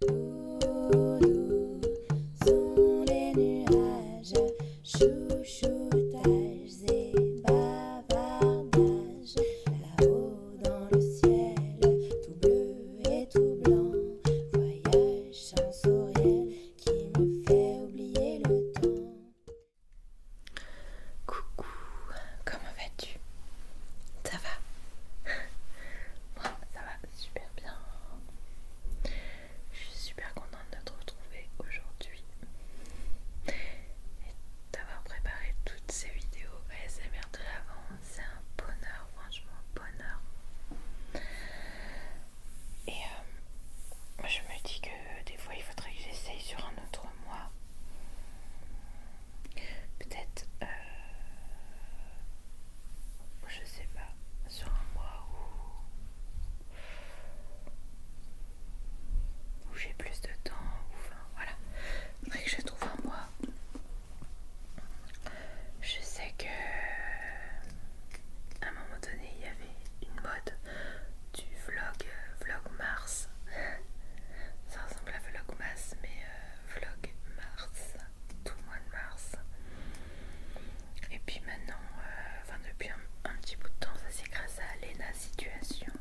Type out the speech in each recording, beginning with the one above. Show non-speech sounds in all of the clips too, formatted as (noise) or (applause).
Doudou sont les nuages, chouchoutages et bavardages. Là-haut dans le ciel, tout bleu et tout blanc, voyage chansauriel qui me fait oublier le temps. Coucou, comment vas-tu? Ça va (laughs) ça va super bien. Je suis super contente de te retrouver aujourd'hui et d'avoir préparé toutes ces vidéos ASMR de l'avant. C'est un bonheur, franchement, bonheur. Et euh, moi, je me dis que des fois il faudrait que j'essaye sur un autre mois peut-être euh, je sais pas sur un mois où, j'ai plus de temps enfin voilà faudrait que je trouve un mois je sais que à un moment donné il y avait une mode du vlog euh, vlog mars (laughs) ça ressemble à vlog mars mais euh, vlog mars tout le mois de mars. Et puis maintenant, euh, enfin depuis un, petit bout de temps, ça c'est grâce à Lena Situation.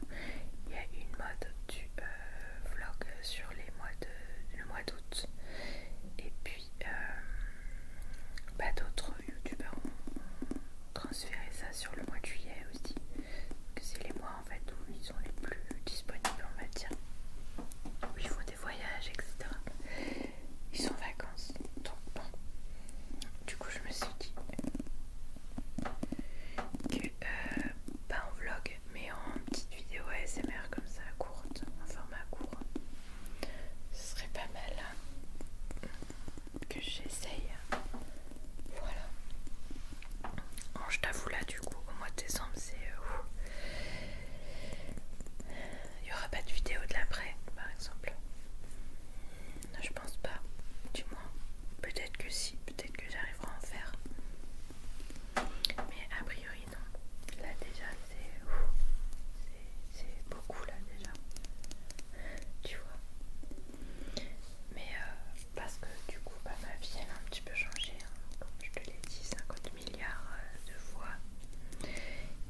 Il y a une mode du euh, vlog sur les mois de, le mois d'août. Et puis pas euh, bah, d'autres youtubeurs ont transféré ça sur le mois de juillet aussi. Que c'est les mois en fait où les plus disponibles, en va dire, où ils font des voyages, etc. Ils sont en vacances, donc Du coup, je me suis dit que, euh, pas en vlog, mais en petite vidéo ASMR comme ça, courte, en format court, ce serait pas mal hein, que j'essaye. Voilà. Oh, je t'avoue là du coup au mois de décembre c'est... Euh, il n'y aura pas de vidéo de l'après par exemple. Je pense pas, du moins. Peut-être que si, peut-être que j'arriverai à en faire. Mais a priori non. Là déjà c'est... C'est beaucoup là déjà. Tu vois. Mais euh, parce que du coup bah, ma vie elle a un petit peu changé, hein. comme je te l'ai dit 50 milliards euh, de fois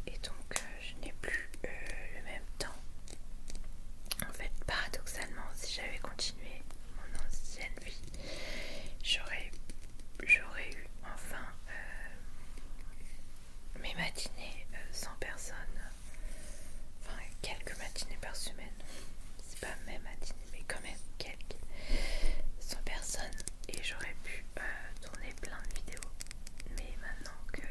et donc euh, je n'ai plus euh, le même temps. En fait paradoxalement si j'avais continué mon ancienne vie j'aurais eu enfin mes matinées sans personne enfin quelques matinées par semaine c'est pas mes matinées mais quand même quelques 100 personnes et j'aurais pu euh, tourner plein de vidéos mais maintenant que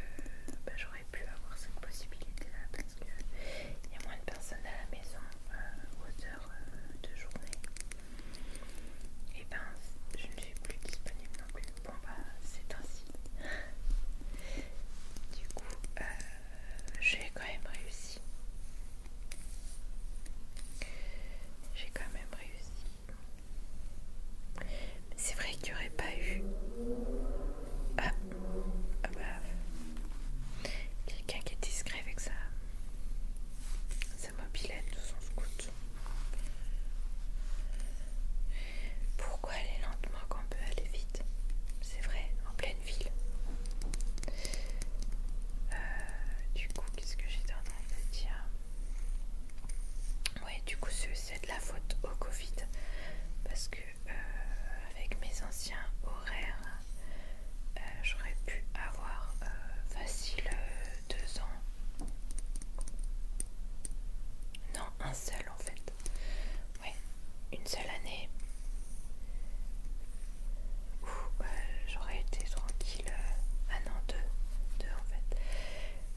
bah, j'aurais pu avoir cette possibilité là parce que il y a moins de personnes à la maison euh, aux heures euh, de journée et eh ben je ne suis plus disponible non plus bon bah c'est ainsi du coup j'ai quand même réussi j'ai quand même réussi. C'est vrai qu'il n'y aurait pas eu... Ah. ah, bah... Quelqu'un qui est discret avec sa, mobilette ou son scout. Pourquoi aller lentement quand on peut aller vite C'est vrai, en pleine ville. Euh, euh, du coup, qu'est-ce que j'ai en train de dire Ouais, du coup, c'est de la faute au Covid parce que euh, avec mes anciens horaires, euh, j'aurais pu avoir facile deux ans. Non, un seul en fait. Ouais, une seule année euh, j'aurais été tranquille Un euh, ah an, deux, en fait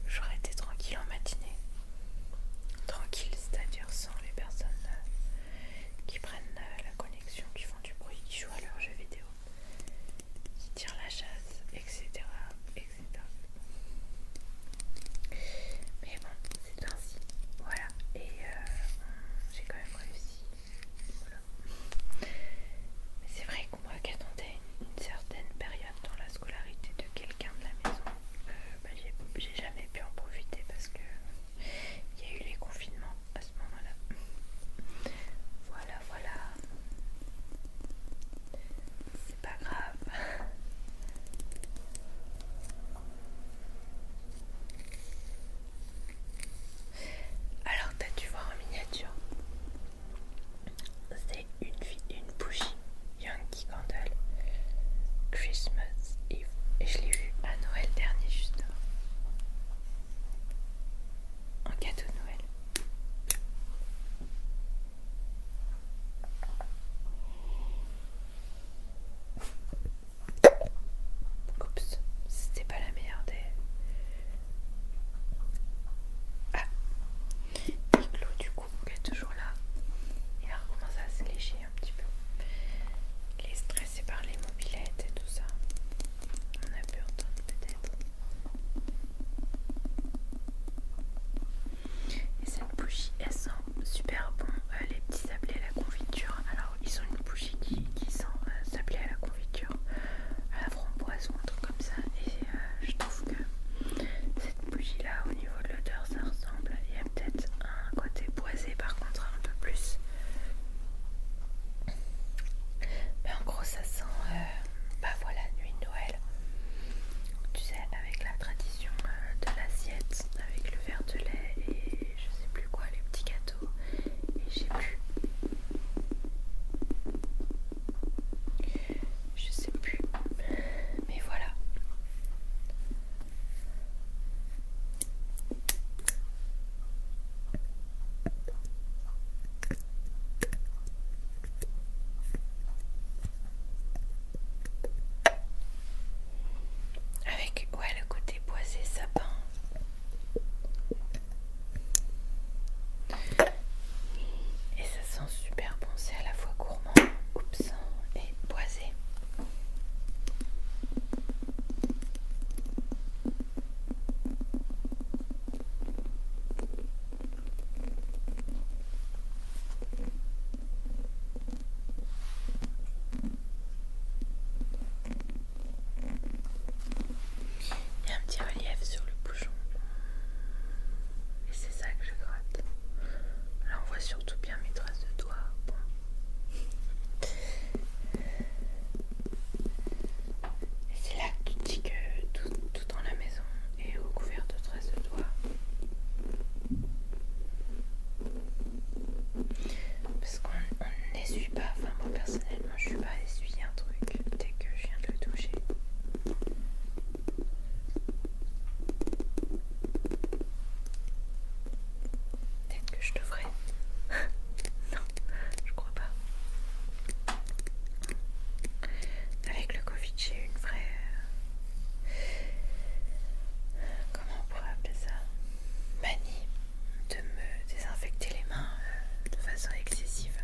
j'aurais été tranquille en matinée tranquille c'est à dire sans les personnes euh, qui prennent la connexion qui font du bruit, qui jouent à leurs jeux vidéo qui tirent la chasse etc mais bon c'est ainsi voilà et j'ai quand même réussi c'est vrai qu'on voit qu'attendait une certaine période dans la scolarité de quelqu'un de la maison, euh, bah, j'ai jamais pu en profiter parce que il y a eu les confinements à ce moment-là. Voilà, voilà. C'est pas grave. Alors t'as dû voir en miniature. C'est une, une bougie Yankee Candle Christmas Eve. Et je l'ai eu à Noël dernier justement. En cadeau de Noël. Oups, c'était pas la meilleure des. Ah l'eau du coup, qui est toujours là. Il a recommencé à se lécher un petit peu. Il est stressé par les mobilettes et tout ça. On a pu entendre peut-être. Et cette bougie, elle sent super bon euh, les petits sablés à la confiture. Alors, ils ont une bougie qui, sent euh, s'appeler à la confiture, à la framboise ou un truc comme ça et euh, je trouve que cette bougie là au niveau de l'odeur ça ressemble, il y a peut-être un côté boisé par contre un peu plus mais en gros ça sent euh, bah voilà nuit de Noël tu sais avec la tradition de l'assiette avec le verre de lait et je sais plus quoi les petits gâteaux j'ai plus je sais plus mais voilà avec ouais, le côté boisé sapin. Et ça sent super bon, c'est à la fois gourmand, oups, et boisé. Il y a un petit relief sur le bouchon. Et c'est ça que je gratte. Là on voit surtout bien mes traces de doigts. Et c'est là que tu dis que tout, tout dans la maison est recouvert de traces de doigts. Parce qu'on n'essuie pas, enfin moi personnellement je suis pas à essuyer un truc dès que je viens de le toucher. Peut-être que je devrais. (laughs) non, je crois pas. Avec le Covid, j'ai une vraie. Euh, comment on pourrait appeler ça Manie de me désinfecter les mains euh, de façon excessive.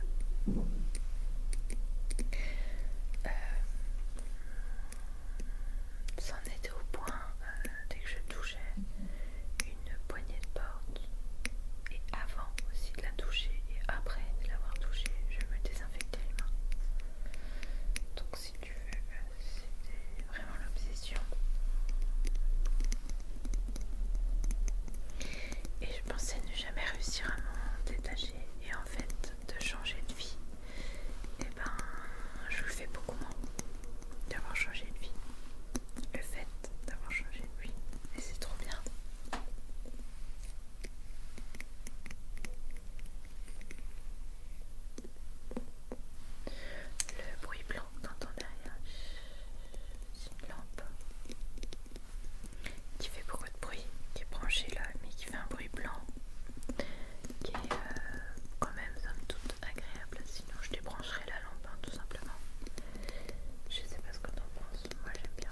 Euh, C'en était au point euh, dès que je touchais une poignée de porte et avant aussi de la toucher et après de l'avoir touchée, je me désinfectais les mains. Donc c'était vraiment l'obsession. Et je pensais ne jamais réussir à m'en détacher et en fait de changer de vie. Et eh ben je le fais beaucoup moins d'avoir changé de vie. Le fait d'avoir changé de vie. Et c'est trop bien. Le bruit blanc entend derrière. C'est une lampe qui fait beaucoup de bruit, qui est branchée là, mais qui fait un bruit blanc qui est euh, quand même somme toute agréable. Sinon, je débrancherai la lampe hein, tout simplement. Je sais pas ce que t'en penses, moi j'aime bien.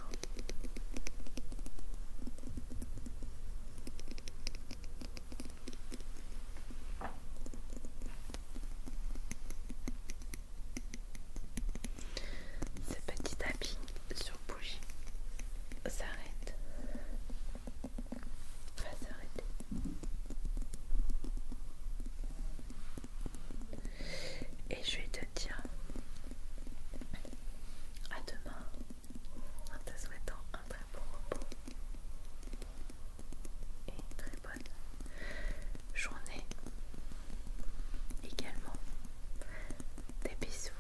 Ce petit tapis sur bougie s'arrête. Va s'arrêter. Et je vais te dire à demain en te souhaitant un très bon repos et très bonne journée également. Des bisous.